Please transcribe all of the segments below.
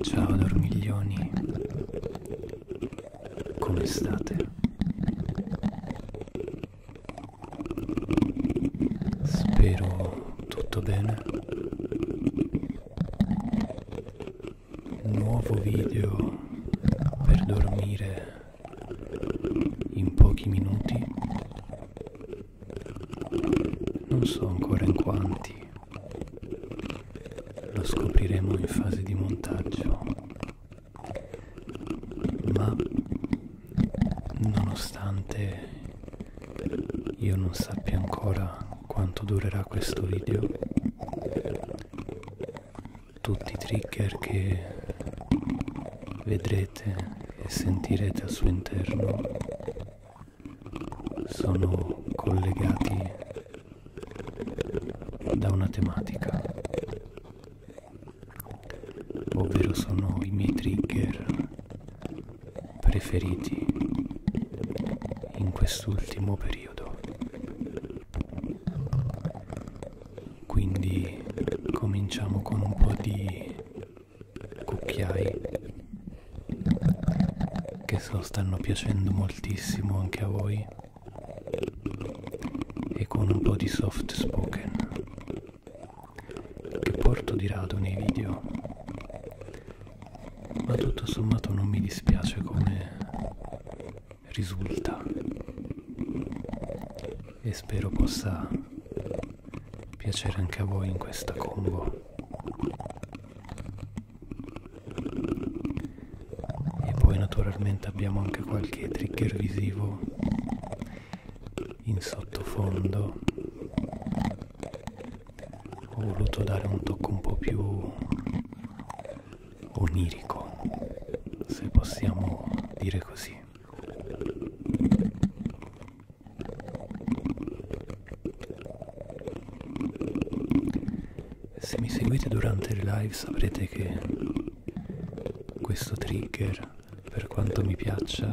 Ciao dormiglioni, come state? Spero tutto bene. Nuovo video per dormire in pochi minuti non so ancora in quanti, lo scopriremo in fase di montaggio, ma nonostante io non sappia ancora quanto durerà questo video, tutti i trigger che vedrete e sentirete al suo interno sono collegati da una tematica, ovvero sono i miei trigger preferiti in quest'ultimo periodo. Quindi cominciamo con un po' di cucchiai che so stanno piacendo moltissimo anche a voi e con un po' di soft spoken che porto di rado nei video ma tutto sommato non mi dispiace come risulta e spero possa piacere anche a voi in questa combo e poi naturalmente abbiamo anche qualche trigger visivo in sottofondo ho voluto dare un tocco un po' più onirico se possiamo dire così se mi seguite durante le live saprete che questo trigger, per quanto mi piaccia,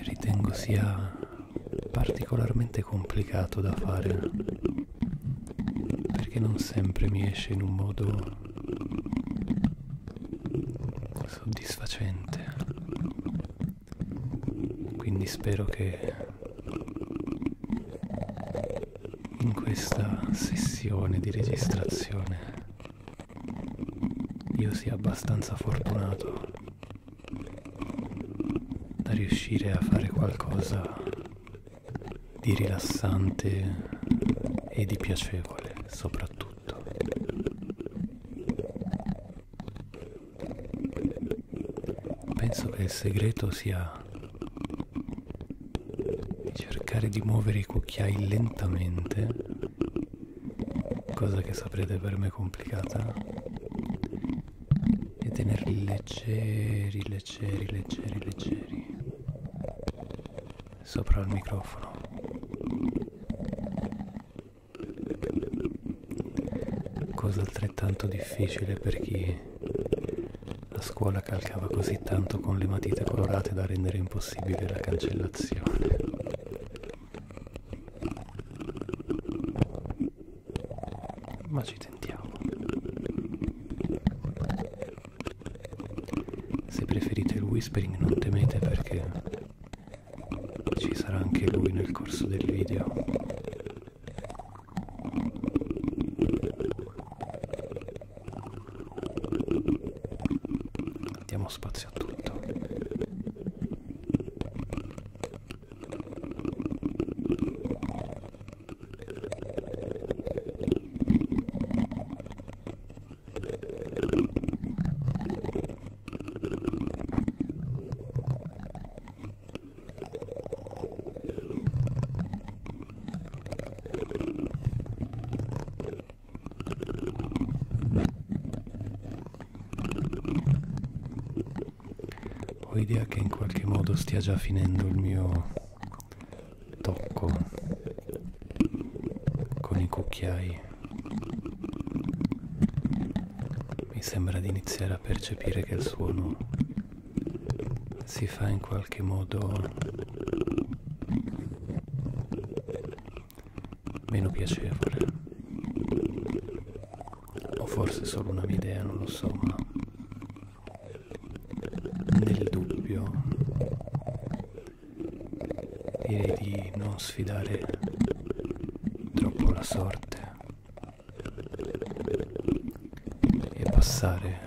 ritengo sia particolarmente complicato da fare perché non sempre mi esce in un modo soddisfacente quindi spero che in questa sessione di registrazione io sia abbastanza fortunato da riuscire a fare qualcosa di rilassante e di piacevole soprattutto tutto penso che il segreto sia cercare di muovere i cucchiai lentamente cosa che saprete per me complicata e tenerli leggeri leggeri leggeri leggeri sopra il microfono cosa altrettanto difficile per chi la scuola calcava così tanto con le matite colorate da rendere impossibile la cancellazione ma ci tentiamo se preferite il whispering non temete perché ci sarà anche lui nel corso del video. Diamo spazio a tutto. Ho idea che in qualche modo stia già finendo il mio tocco con i cucchiai mi sembra di iniziare a percepire che il suono si fa in qualche modo meno piacevole o forse solo una mia idea non lo so ma nel dubbio direi di non sfidare troppo la sorte e passare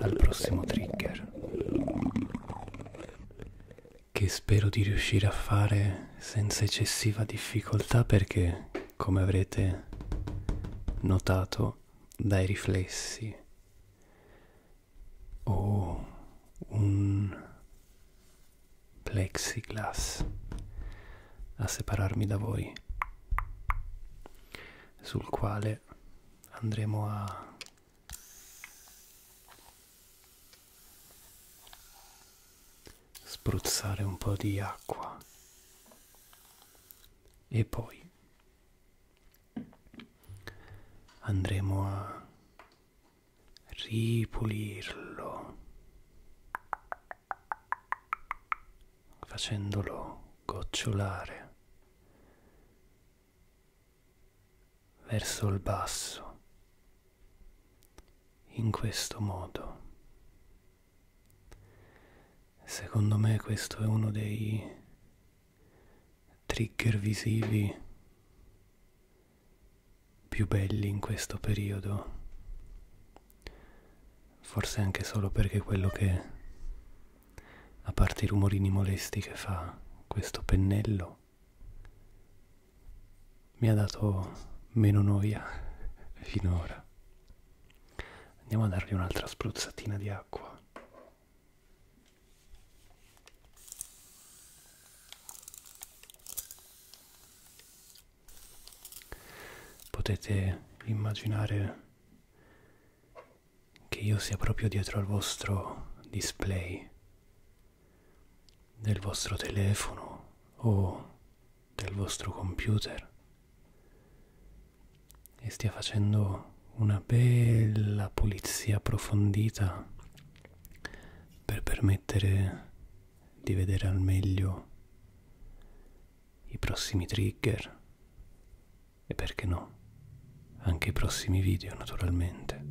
al prossimo trigger che spero di riuscire a fare senza eccessiva difficoltà perché come avrete notato dai riflessi o un plexiglass a separarmi da voi sul quale andremo a spruzzare un po' di acqua e poi andremo a ripulirlo facendolo gocciolare verso il basso in questo modo secondo me questo è uno dei trigger visivi più belli in questo periodo forse anche solo perché quello che a parte i rumorini molesti che fa questo pennello mi ha dato meno noia finora andiamo a dargli un'altra spruzzatina di acqua Potete immaginare che io sia proprio dietro al vostro display del vostro telefono o del vostro computer e stia facendo una bella pulizia approfondita per permettere di vedere al meglio i prossimi trigger e perché no anche i prossimi video naturalmente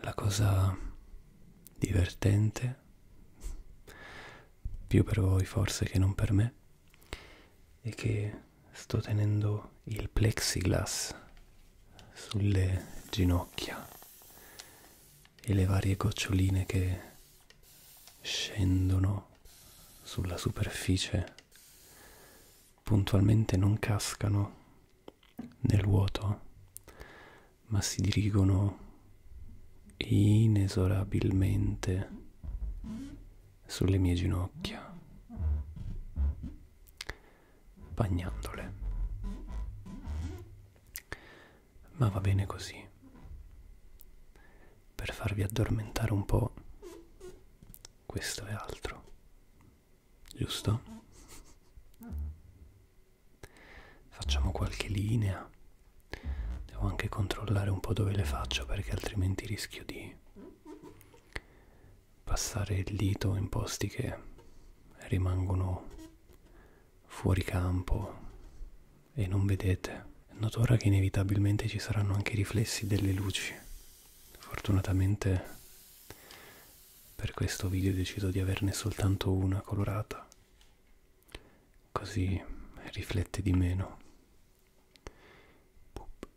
la cosa divertente più per voi forse che non per me è che sto tenendo il plexiglass sulle ginocchia e le varie goccioline che scendono sulla superficie puntualmente non cascano nel vuoto ma si dirigono inesorabilmente sulle mie ginocchia, bagnandole. Ma va bene così. Per farvi addormentare un po', questo è altro. Giusto? Facciamo qualche linea. Devo anche controllare un po' dove le faccio perché altrimenti rischio di passare il dito in posti che rimangono fuori campo e non vedete. Noterà che inevitabilmente ci saranno anche i riflessi delle luci. Fortunatamente per questo video ho deciso di averne soltanto una colorata, così riflette di meno. Pup.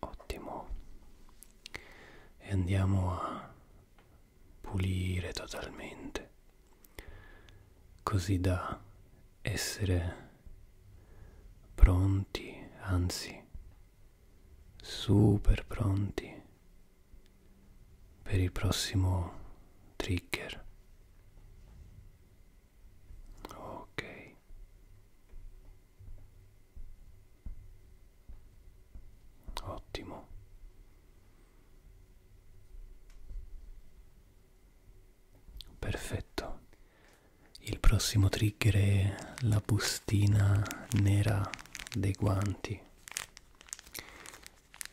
ottimo e andiamo a pulire totalmente così da essere pronti anzi super pronti per il prossimo trigger ok Ottimo. Perfetto. Il prossimo trigger è la bustina nera dei guanti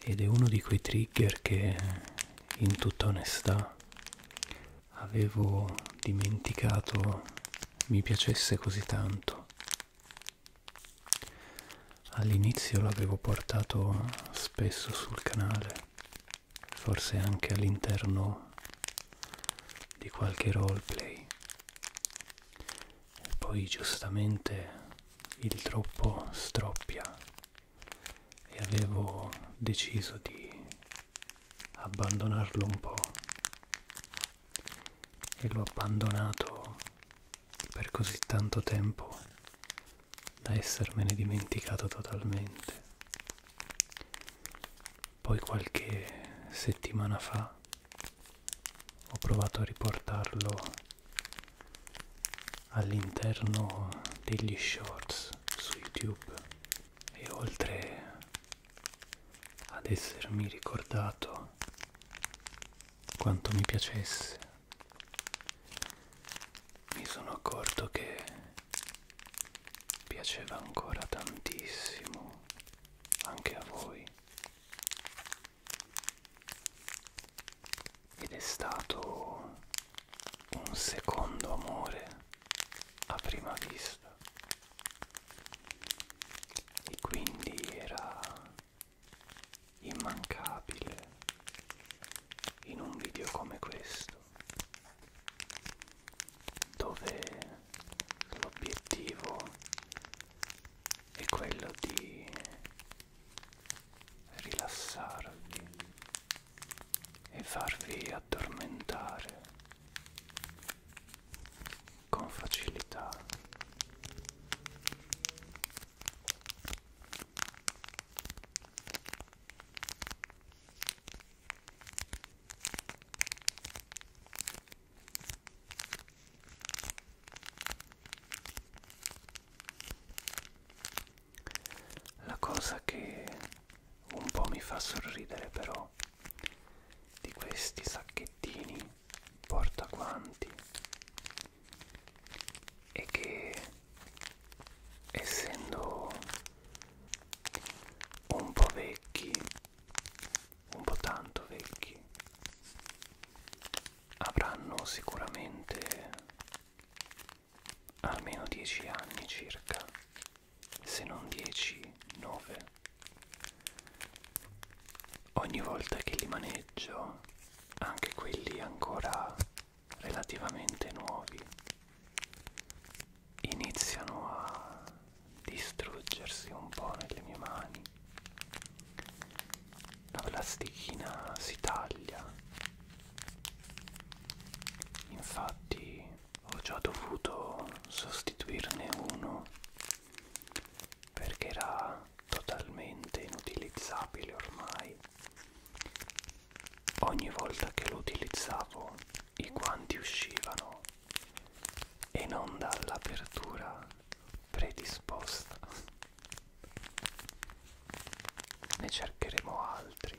ed è uno di quei trigger che in tutta onestà avevo dimenticato mi piacesse così tanto. All'inizio l'avevo portato spesso sul canale, forse anche all'interno di qualche roleplay. E poi giustamente il troppo stroppia e avevo deciso di abbandonarlo un po' e l'ho abbandonato per così tanto tempo da essermene dimenticato totalmente. Poi qualche settimana fa ho provato a riportarlo all'interno degli shorts su YouTube e oltre ad essermi ricordato quanto mi piacesse. Mi sono accorto che piaceva ancora tantissimo anche a voi. Ed è stato un secondo amore a prima vista e quindi era immancabile in un video come questo dove l'obiettivo è quello di rilassarvi e farvi addormentare con facilità la cosa che un po' mi fa sorridere però di questi sacchettini portaguanti e che essendo un po' vecchi un po' tanto vecchi avranno sicuramente almeno 10 anni circa se non 10 9 ogni volta che li maneggio, anche quelli ancora relativamente nuovi, iniziano a distruggersi un po' nelle mie mani. La plastichina si taglia. Infatti ho già dovuto sostituirne uno perché era totalmente inutilizzabile ormai ogni volta che lo utilizzavo i guanti uscivano e non dall'apertura predisposta ne cercheremo altri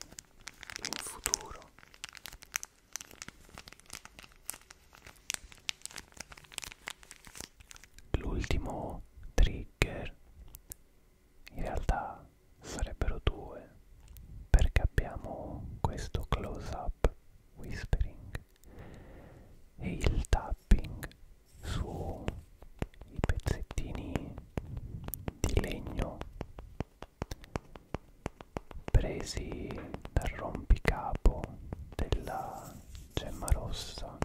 in futuro L'ultimo trigger in realtà sarebbero due perché abbiamo questo close up whispering e il tapping su i pezzettini di legno presi dal rompicapo della gemma rossa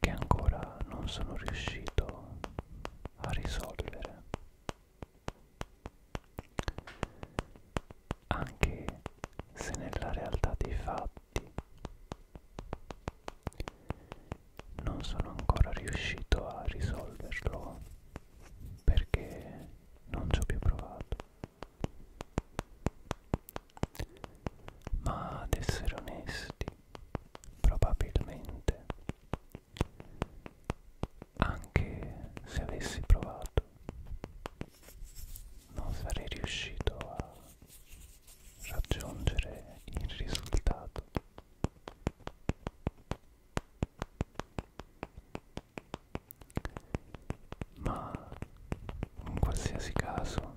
che ancora non sono riuscito a risolvere anche se nella realtà dei fatti non sono ancora riuscito a risolverlo perché non ci ho più provato ma ad essere onesti probabilmente anche se avessi provato non sarei riuscito a raggiungere il risultato ma in qualsiasi caso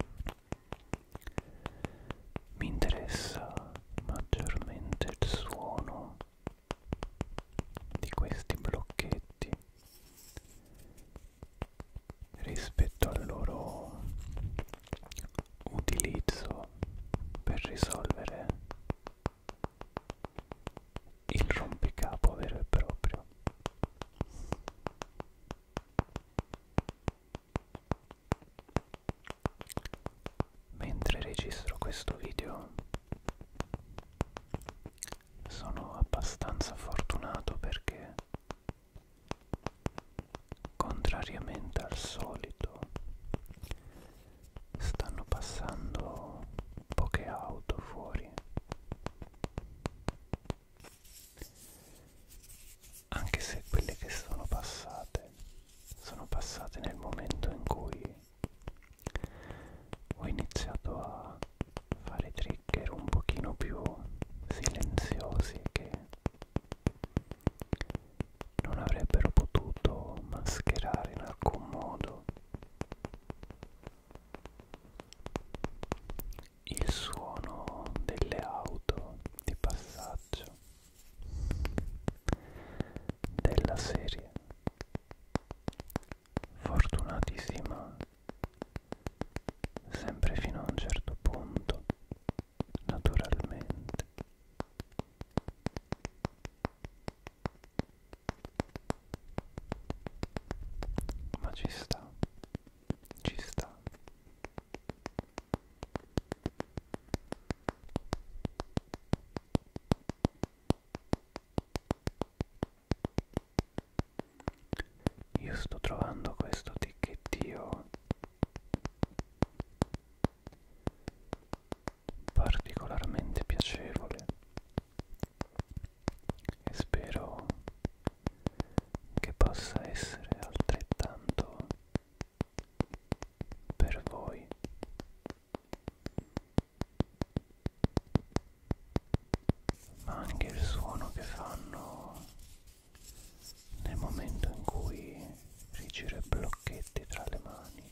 mi interessa maggiormente il suono di questi blocchetti rispetto al loro utilizzo per risolvere il rompicapo vero e proprio mentre registro questo video sono abbastanza fortunato perché contrariamente al solito stanno passando poche auto fuori anche se quelle che sono passate sono passate nel momento in cui ho iniziato a fare trigger un pochino più silenziosi che non avrebbero potuto mascherare in alcun modo il suono delle auto di passaggio della serie fortunatissima sempre fino a un certo punto naturalmente ma ci sta ci sta io sto trovando questo ticchettio particolarmente piacevole e spero che possa essere altrettanto per voi ma anche il suono che fanno nel momento in cui rigiro i blocchetti tra le mani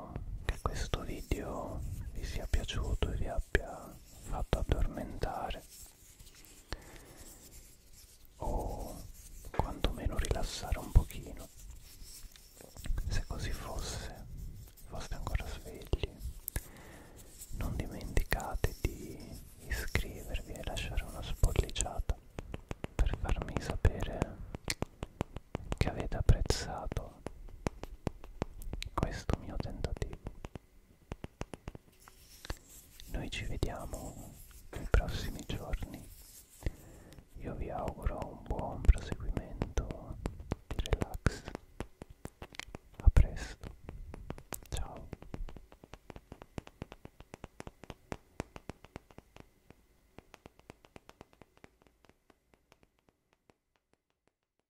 spero che questo video vi sia piaciuto e vi abbia fatto addormentare o quantomeno rilassare un pochino se così fosse foste ancora svegli non dimenticate di iscrivervi e lasciare una spolliciata per farmi sapere che avete apprezzato questo mio tentativo. Noi ci vediamo nei prossimi giorni. Io vi auguro un buon proseguimento di relax. A presto. Ciao.